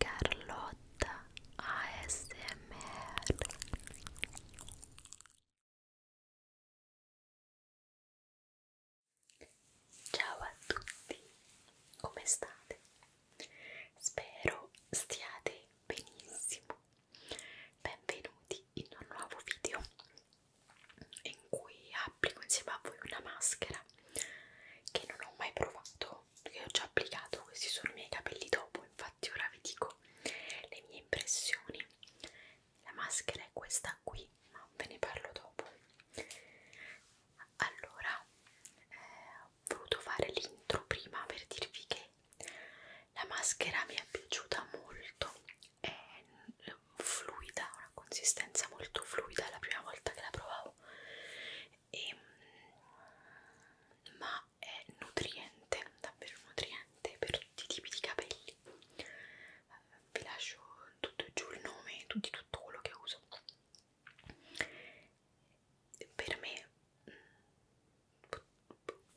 Carlotta ASMR Ciao a tutti, come state? Spero stiate benissimo. Benvenuti in un nuovo video in cui applico insieme a voi una maschera che non ho mai provato che ho già applicato questi sono i miei capelli dopo infatti ora vi dico le mie impressioni la maschera è questa qui ma ve ne parlo dopo allora eh, ho voluto fare l'intro prima per dirvi che la maschera mi è piaciuta molto è fluida, una consistenza molto fluida la prima volta che la provavo e, mm, ma è nutriente, davvero nutriente per tutti i tipi di capelli vi lascio tutto giù il nome tutti, tutto quello che uso per me mm,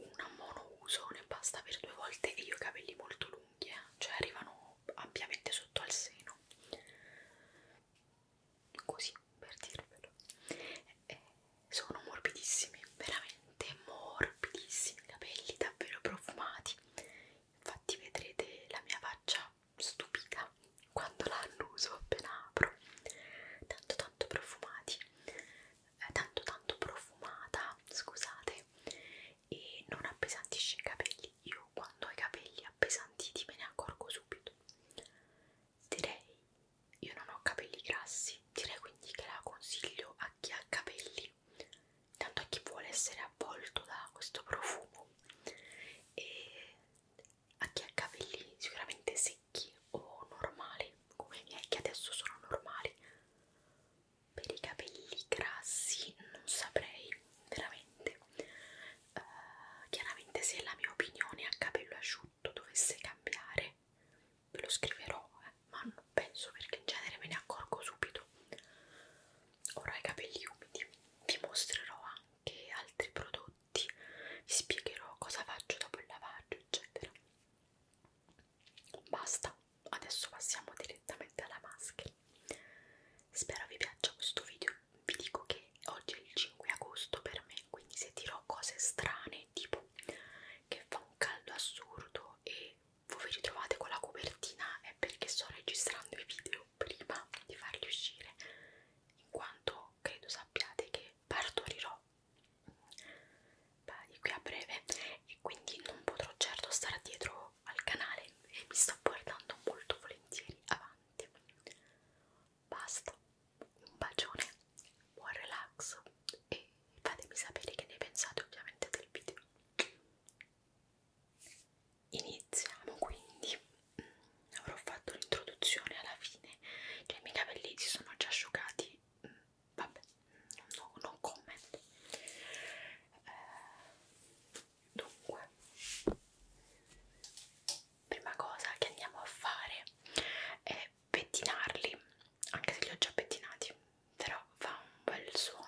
una monouso ne basta per due volte e io ho capelli molto lunghi eh? cioè arrivano ampiamente sotto al seno così per dirvelo eh, sono morbidissimi veramente morbidissimi capelli davvero profumati infatti vedrete la mia faccia stupita quando la annuso appena apro tanto tanto profumati eh, tanto tanto profumata scusate e non appesantisce i capelli io quando ho i capelli appesantiti me ne accorgo subito. Direi, io non ho capelli grassi, direi quindi che la consiglio a chi ha capelli, tanto a chi vuole essere avvolto da questo profumo e a chi ha capelli sicuramente secchi o normali, come i miei che adesso sono normali, per i capelli grassi non saprei veramente uh, chiaramente se la mia opinione a capello asciutto dovesse cambiare ve lo scriverò eh, ma non penso perché in genere me ne accorgo subito ora i capelli umidi vi mostrerò anche altri prodotti vi spiegherò cosa faccio dopo il lavaggio eccetera basta adesso passiamo direttamente alla maschera spero vi piaccia questo video vi dico che oggi è il 5 agosto per me quindi se dirò cose strane tipo che fa un caldo assurdo e voi vi ritrovate con la copertina è perché sto registrando i video prima di farli uscire in quanto credo sappiate che partorirò mm, di qui a breve e quindi non potrò certo stare dietro nuovo al canale e mi sto portando molto volentieri avanti. Basta, un bacione, buon relax e fatemi sapere che ne pensate ovviamente del video. Iniziamo quindi, mm, avrò fatto l'introduzione alla fine, che i miei capelli si sono già asciugati, mm, vabbè, non no comment. Eh, Dunque, prima cosa che andiamo a fare è pettinarli, anche se li ho già pettinati, però fa un bel suono.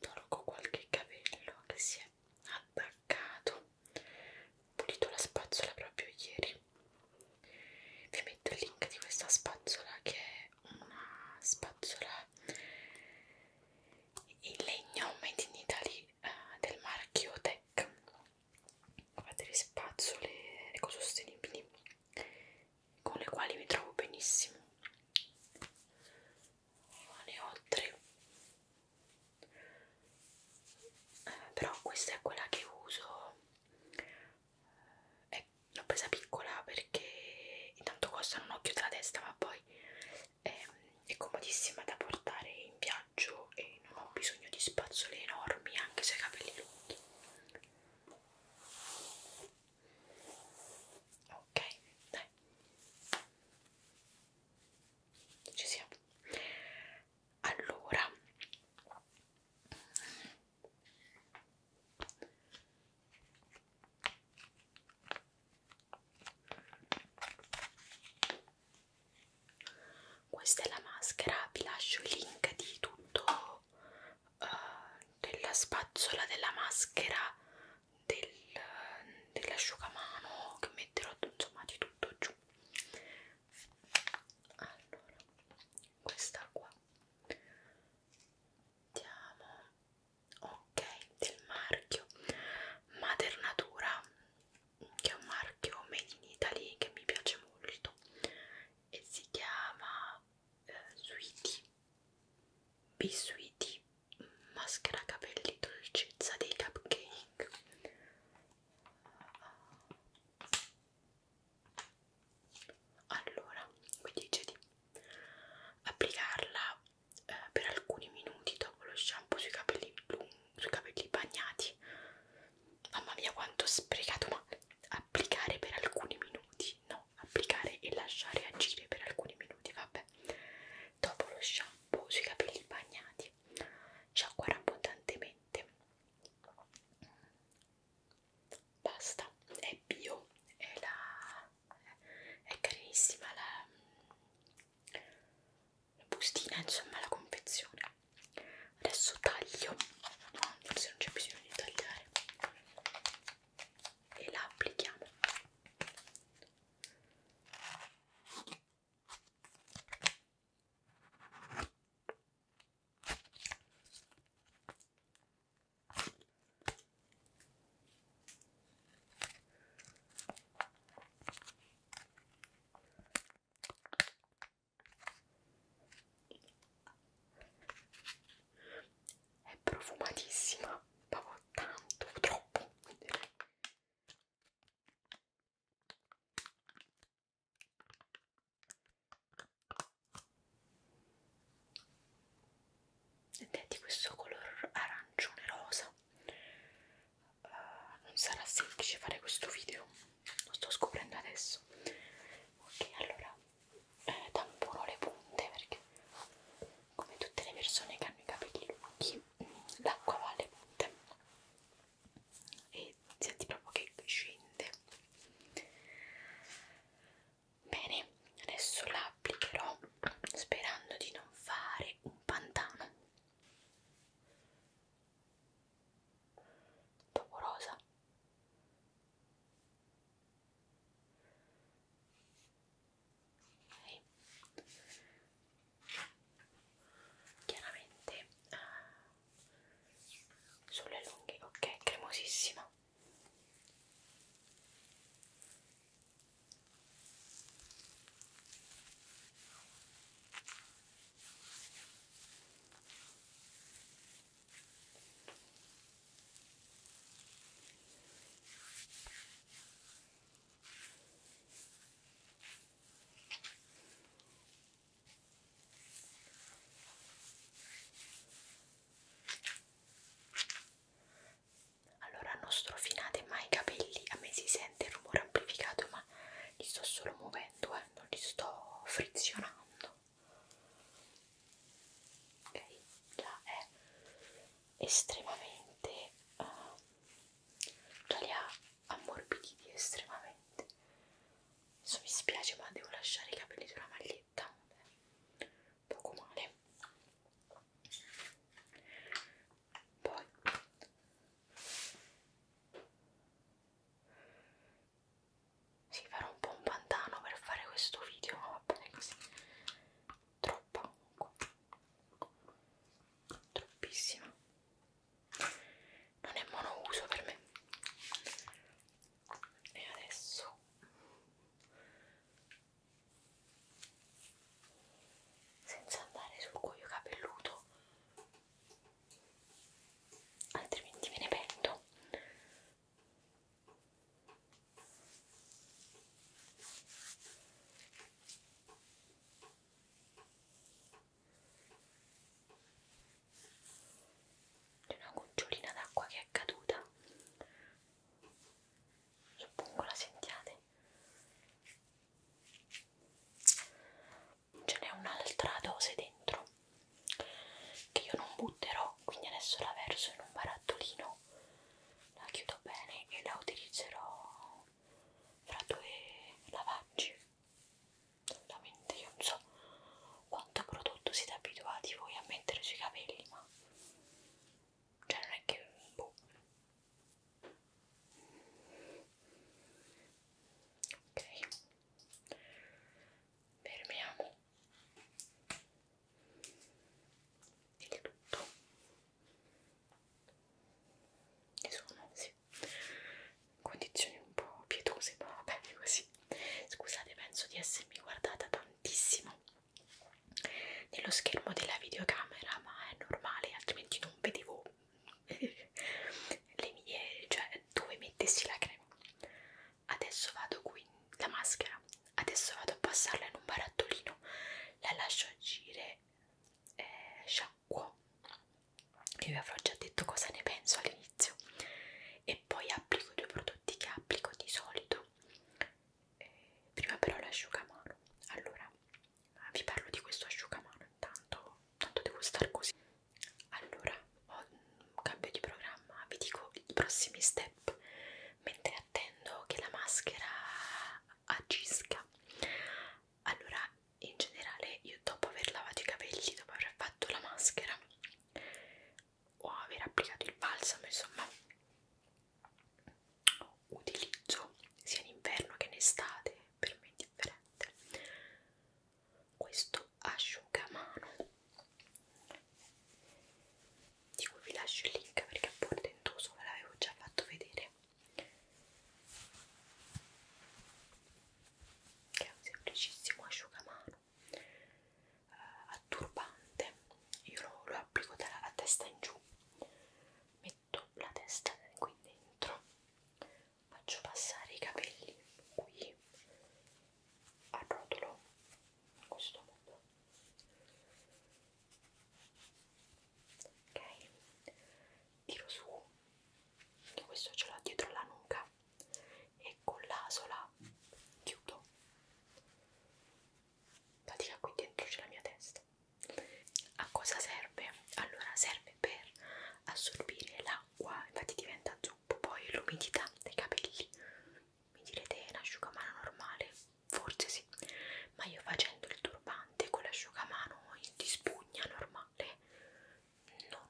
Tolgo qualche capello che si è attaccato. Pulito la spazzola proprio ieri. Vi metto il link di questa spazzola che è una spazzola in legno made in Italy eh, del marchio Tech fa delle spazzole ecosostenibili con le quali mi trovo benissimo ne ho tre eh, però questa è quella che uso eh, l'ho presa piccola perché intanto costa un occhio della testa ma poi eh, è comodissima da portare in viaggio e non ho bisogno di spazzole enormi anche se ho i capelli lunghi ok dai ci siamo allora questa è la maschera vi lascio il link di tutto uh, della spazzola della maschera del, dell'asciugamano che metterò insomma di tutto giù allora questa qua Diamo ok del marchio Mater Natura che è un marchio made in Italy che mi piace molto e si chiama eh, Sweetie Bisweetie maschera capelli dolcezza dei cupcake allora qui dice di applicarla eh, per alcuni minuti dopo lo shampoo sui capelli lunghi sui capelli bagnati mamma mia quanto ho sprecato ma applicare per alcuni minuti no applicare e lasciare agire per alcuni minuti vabbè dopo lo shampoo sui capelli bagnati sciacquare abbondantemente basta è bio è la è carinissima la bustina insomma la confezione adesso taglio no, forse non c'è bisogno di tagliare e la applichiamo è profumatissima, proprio tanto, troppo. Ed è di questo color arancione rosa uh, eh, non sarà semplice fare questo video, lo sto scoprendo adesso. Ok, allora eh, tamporo le punte perché, come tutte le persone che hanno i capelli lunghi, mm, l'acqua va alle punte e senti proprio che scende. Bene, adesso la applicherò sperando di non fare un pantano Vaporosa. Okay. Chiaramente eh, sulle lunghe, ok, cremosissima. Allora non strofinate mai i capelli, a me si sente il rumore amplificato ma li sto solo muovendo, eh, non li sto frizionando. Ok, già è estremamente, uh, già li ha ammorbiditi estremamente. Adesso mi spiace ma devo lasciare i capelli sulla maglietta, Beh, poco male. Poi sì, farò un po' un pantano per fare questo video, ma va bene così. Troppa comunque. Troppissima. Non è monouso per me. E adesso senza andare sul cuoio capelluto altrimenti me ne pento c'è una gocciolina d'acqua che è caduta suppongo la sentiate ce n'è un'altra dose dentro che io non butterò quindi adesso la verso in un barattolino la chiudo bene e la utilizzerò fra due lavaggi solamente io non so quanto prodotto siete abituati voi a mettere sui capelli ma cioè non è che boh, ok fermiamo il tutto e sono sì condizioni un po' pietose ma va bene così scusate penso di essermi guardata tantissimo nello schermo della videocamera ma è normale altrimenti non vedevo le mie, cioè dove mettessi la crema. Adesso vado qui, la maschera, adesso vado a passarla in un barattolino, la lascio agire, eh, sciacquo, io vi avrò già detto cosa ne penso all'inizio, e poi applico i due prodotti che applico di solito. Eh, prima però l'asciugamano. Allora, Ah, vi parlo di questo asciugamano intanto, tanto devo star così allora ho un cambio di programma vi dico i prossimi step mentre attendo che la maschera agisca allora in generale io dopo aver lavato i capelli dopo aver fatto la maschera o aver applicato il balsamo insomma utilizzo sia in inverno che in estate, per me è indifferente. Questo asciugamano di cui vi lascio il link perché è portentoso, ve l'avevo già fatto vedere che è un semplicissimo asciugamano eh, a turbante io lo, lo applico da, a testa in giù metto la testa qui dentro faccio passare i capelli qui a rotolo in questo modo ok tiro su e questo ce l'ho dietro la nuca e con l'asola chiudo pratica qui dentro c'è la mia testa a cosa serve? allora serve per assorbire l'acqua infatti diventa zuppo poi l'umidità dei capelli mi direte è un asciugamano normale? forse sì ma io facendo il turbante con l'asciugamano di spugna normale non,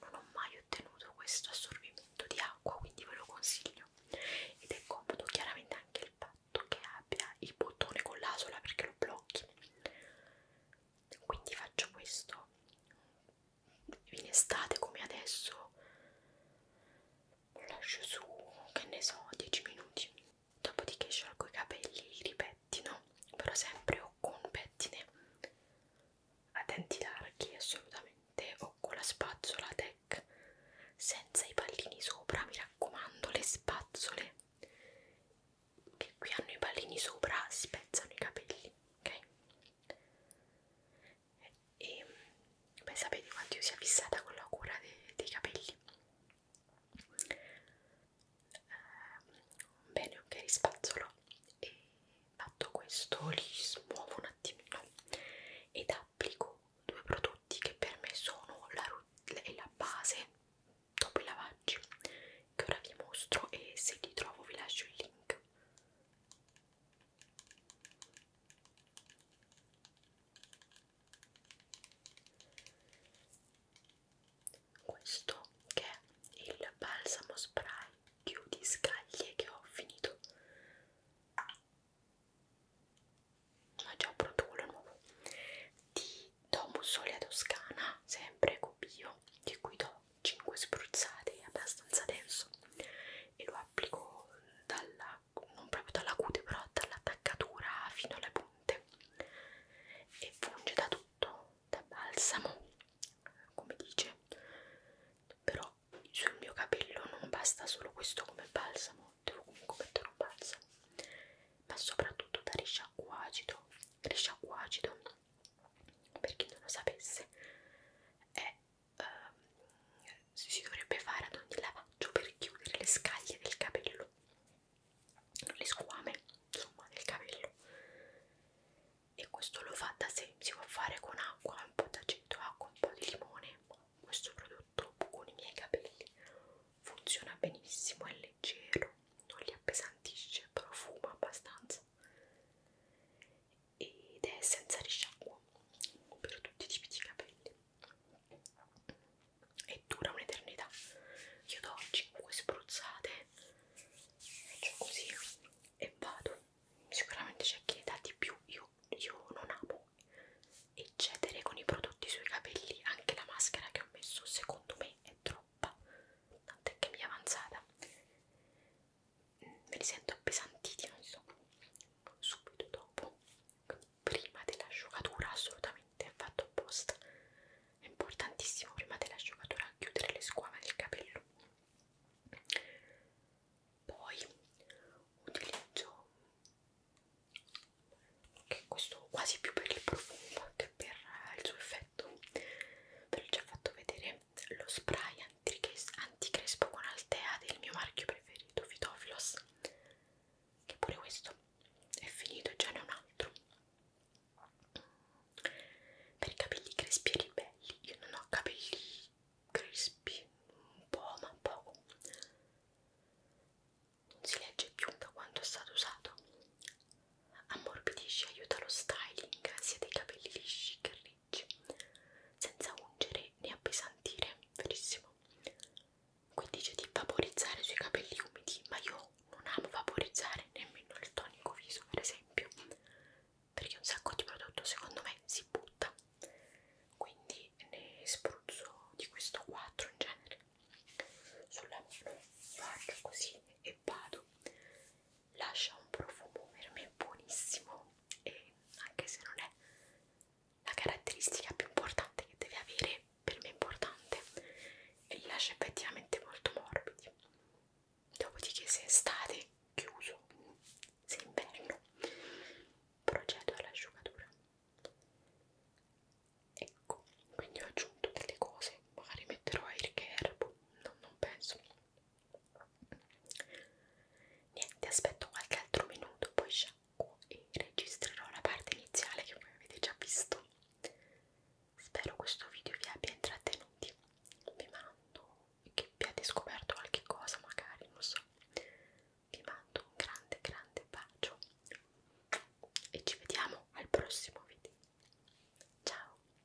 non ho mai ottenuto questo assorbimento di acqua quindi ve lo consiglio ed è comodo chiaramente anche il pad fatto che abbia il bottone con l'asola perché lo blocchi quindi faccio questo in estate come adesso lo lascio su che ne so 10 minuti dopodiché sciolgo i capelli li ripettino però sempre o con pettine a denti larghi assolutamente o con la spazzola tech senza i pallini sopra mi raccomando le spazzole che qui hanno i pallini sopra spezzano i capelli ok e beh sapete quanto io sia fissata con la cura de dei capelli uh, bene ok rispazzolo e fatto questo li smuovo un attimino ed applico due prodotti che per me sono la, la base dopo i lavaggi che ora vi mostro e se li trovo vi lascio il link questo che è il balsamo spray chiudi scaglie che ho finito ah, già Pro Tool nuovo di Domus Solia Toscana, sempre Cubio, di cui do 5 spruzzate, è abbastanza denso e lo applico dalla, non proprio dalla cute, però dall'attaccatura fino alle punte e funge da tutto, da balsamo, come dice, però sul mio capello non basta solo questo come balsamo, devo comunque mettere un balsamo ma soprattutto da risciacquo acido. Risciacquo acido, per chi non lo sapesse, è, um, si dovrebbe fare ad ogni lavaggio per chiudere le scaglie del capello, le squame insomma del capello. E questo lo fa da sé, si può fare con acqua, un po' d'aceto, acqua, un po' di limone. Questo prodotto con i miei capelli funziona benissimo, è leggero, non li appesantisce, profuma abbastanza ed è senza risciacquo per tutti i tipi di capelli e dura un'eternità. Io do 5 spruzzate, faccio così e vado. Sicuramente c'è chi ne dà di più, io, io non amo e cedere con i prodotti sui capelli anche la maschera che ho messo secondo me è troppa tant'è che mi è avanzata mm, me li sento appesantiti non so subito dopo quindi prima dell'asciugatura assolutamente è fatto apposta è importantissimo prima dell'asciugatura chiudere le squame del capello poi utilizzo che questo quasi più per il profumo che per eh, il suo effetto ve l'ho già fatto vedere lo spray anticrespo con Altea del mio marchio preferito Fitofilos che pure questo è finito e già ne ho un altro per i capelli crespi e ribelli io non ho capelli crespi un po' ma poco non si legge più da quanto è stato usato. Ammorbidisce e aiuta lo styling sia dei capelli lisci che ricci, senza ungere né appesantire, verissimo. Qui dice di vaporizzare sui capelli umidi, ma io non amo vaporizzare nemmeno il tonico viso, per esempio, perché un sacco di prodotto secondo me si butta. Quindi ne spruzzo di questo 4 in genere sulla mano faccio così e vado. Lascia un profumo per me buonissimo e anche se non è la caratteristica più importante che deve avere, per me è importante e li lascia effettivamente molto morbidi. Dopodiché se è estate, chiuso, se è inverno, procedo all'asciugatura ecco quindi ho aggiunto delle cose magari metterò air care boh, no, non penso niente aspetto qualche altro minuto poi sciacquo e registrerò la parte iniziale che voi avete già visto spero questo video vi abbia intrattenuti vi mando che abbiate scoperto qualche cosa magari non so vi mando un grande grande bacio e ci vediamo al prossimo video ciao